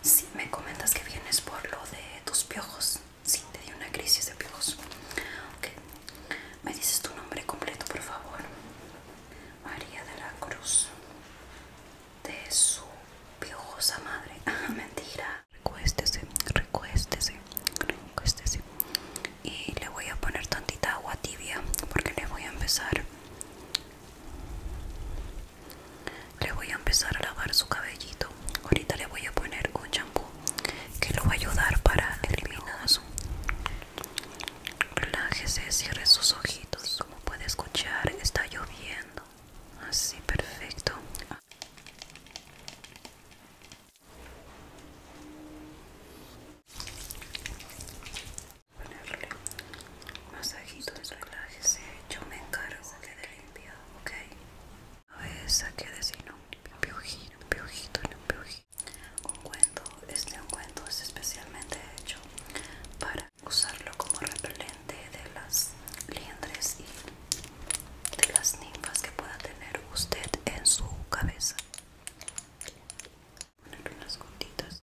Si me comentas que vienes por lo de tus piojos. si te di una crisis de piojos. Ok. ¿Me dices tu nombre completo, por favor? María de la Cruz. De su piojosa madre. Ah, mentira. Recuéstese, recuéstese, recuéstese. Y le voy a poner tantita agua tibia porque le voy a empezar le voy a empezar a lavar su cabellito ahorita le voy a poner un shampoo que lo va a ayudar para eliminar su relájese cierre sus ojitos como puede escuchar está lloviendo así perfecto ponerle un masajito de relájese, eh, yo me encargo de limpiar, ¿ok? A ver, saqué de un piojito, un piojito, un piojito. Un cuento, este cuento es especialmente hecho para usarlo como repelente de las liendres y de las ninfas que pueda tener usted en su cabeza. ponerle unas gotitas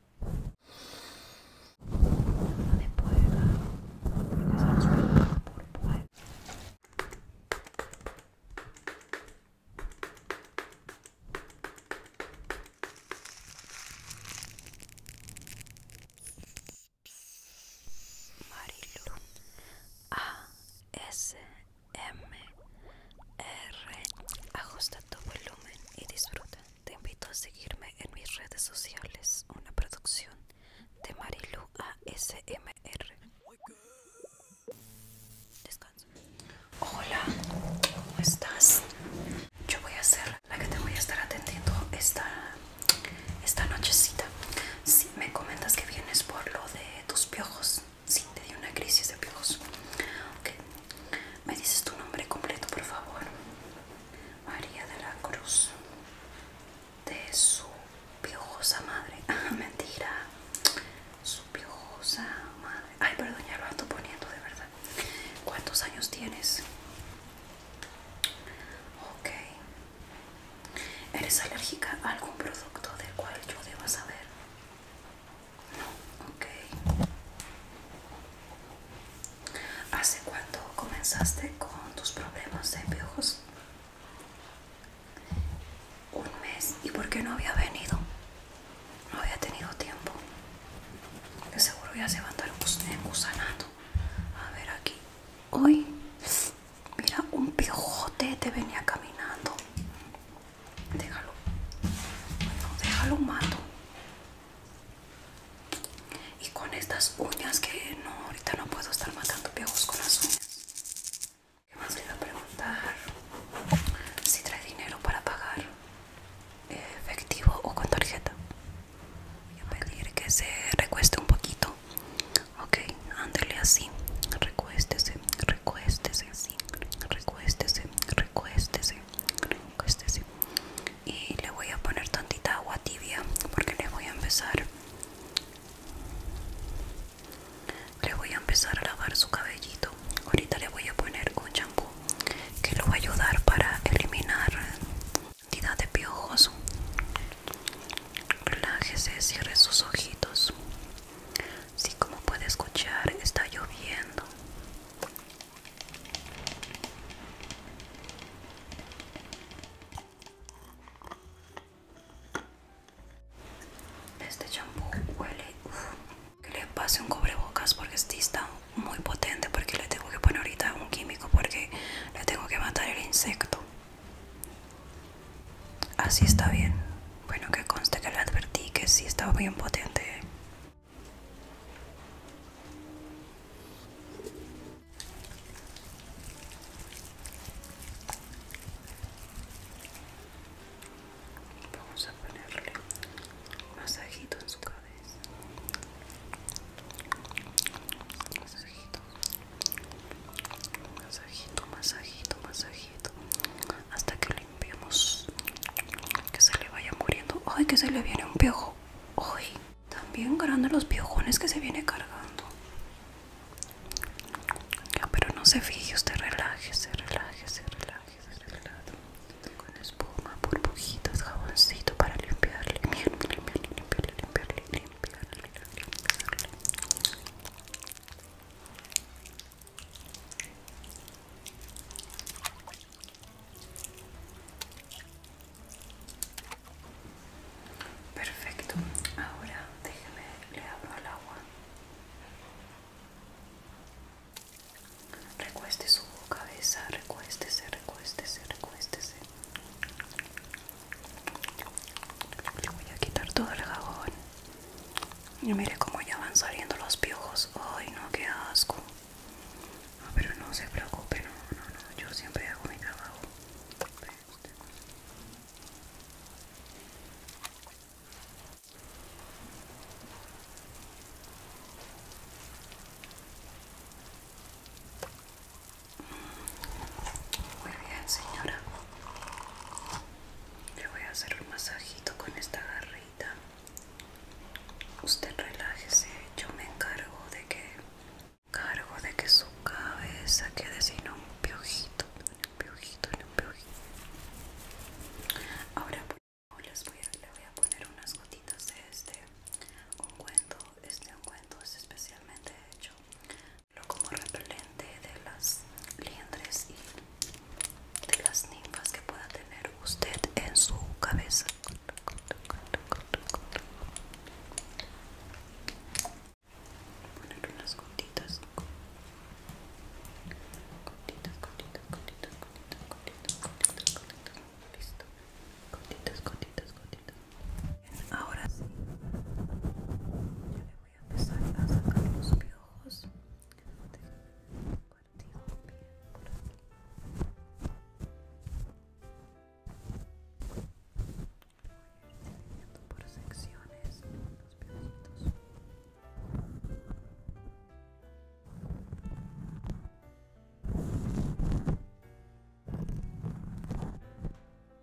Marilu A S M R. Ajusta tu volumen y disfruta. Te invito a seguirme en mis redes sociales, una producción de Marilu ASMR. Hola, ¿cómo estás? Yo voy a ser la que te voy a estar atendiendo esta, esta nochecita. Si me comentas que vienes por lo de tus piojos, sí, te di una crisis de piojos. ¿Me dices tu nombre completo, por favor? María de la Cruz. De su piojosa madre. Ah, mentira. Su piojosa madre. Ay, perdón, ya lo ando poniendo de verdad. ¿Cuántos años tienes? Ok. ¿Eres alérgica a algún producto del cual yo deba saber? Ok. ¿Hace cuánto comenzaste con tus problemas de piojos? Un mes. ¿Y por qué no había venido? No había tenido tiempo. De seguro ya se va a andar gusanato. A ver aquí. Hoy, mira, un piojote te venía caminando. Déjalo. déjalo mato. Y con estas uñas que no, ahorita no puedo estar matando piojos con las uñas. ¿Qué más le iba a preguntar? Si trae dinero para pagar eh, efectivo o con tarjeta. Voy a pedir que se recueste un poquito. Ok, ándele así. Recuéstese, recuéstese recuéstese, recuéstese, recuéstese, Y le voy a poner tantita agua tibia porque le voy a empezar. Le voy a empezar a lavar su cabellito. Ahorita le voy a poner un champú que lo va a ayudar para eliminar cantidad de piojos. Relájese, cierre sus ojitos. Sí, como puede escuchar, está lloviendo. Este champú huele. Que le pase un cubrebocas porque este está muy potente. Porque le tengo que poner ahorita un químico. Porque le tengo que matar el insecto. Así está bien. Bueno, que conste que le advertí que sí estaba bien potente. Vamos a ponerle masajito en su cabeza. Masajito, masajito, masajito, masajito hasta que limpiemos que se le vaya muriendo ay que se le viene un piojo ay también grande los piojones que se viene cargando ya, pero no se fije usted relájese relájese relájese relaje. con espuma burbujitas jaboncito para limpiarle limpiarle limpiarle limpiarle limpiarle limpiarle, limpiarle, limpiarle. Perfecto, ahora déjeme, le abro el agua. Recueste su cabeza, recuéstese, recuéstese, recuéstese. Le voy a quitar todo el jabón. Y mire cómo ya van saliendo los piojos. Ay, no, qué asco. No, ah, pero no se preocupe, no, no, no. Yo siempre hago mi trabajo. Muy bien, señora. Le voy a hacer un masajito con esta garrita. Usted relájese, yo me encargo de que cargo de que su cabeza quede sin un piojito, un piojito, un piojito. Ahora les voy a, le voy a poner unas gotitas de este ungüento. Este ungüento es especialmente hecho lo como repelente de las liendres y de las ninfas que pueda tener usted en su cabeza. ponerle unas gotitas. Gotitas, gotitas, gotitas, gotitas, gotitas, gotitas, gotitas. Listo. Gotitas, gotitas, gotitas. ahora sí voy a empezar a sacar los piojos Déjame partir bien por aquí voy a ir dividiendo por secciones los piojitos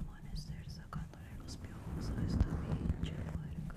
Amanecer sacándole los piojos a esta pinche puerca.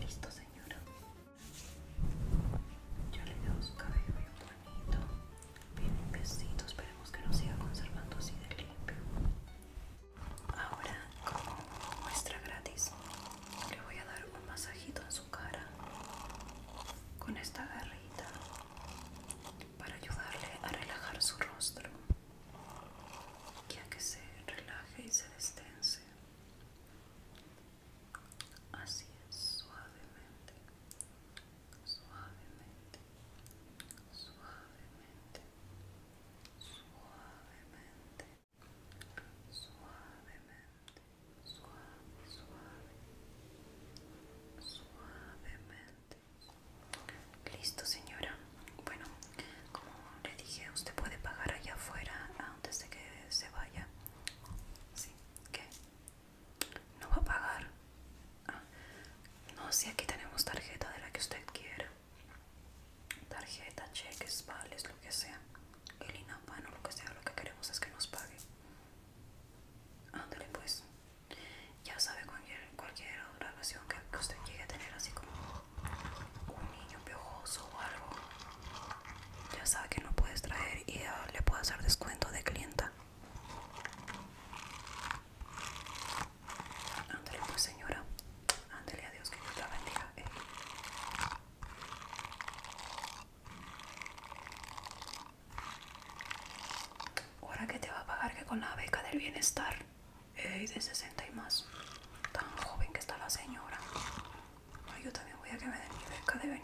Listo, señora. Yo le doy su cabello bonito. Bien Esperemos que lo siga conservando así de limpio. Ahora, como muestra gratis, le voy a dar un masajito en su cara con esta garrita para ayudarle a relajar su rostro ya que se relaje y se destense así es suavemente suavemente, suavemente, suavemente, suavemente, suave, suave, suavemente. Listo, señora. Bueno, como le dije, usted puede pagar allá afuera antes de que se vaya. Sí, ¿qué? no va a pagar ah, no si aquí tenemos tarjeta de la que usted quiera tarjeta cheques vales lo que sea el o lo que sea lo que queremos es que nos pague ándale pues ya sabe cualquier, relación que, usted llegue a tener así como un niño piojoso o algo ya sabe que no puedes traer y ah, le puedo hacer descuento de clienta Ándale pues señora, ándale a Dios que te la bendiga. Eh. Ahora que te va a pagar que con la beca del bienestar, de 60 y más, tan joven que está la señora. Ay, yo también voy a que me den mi beca de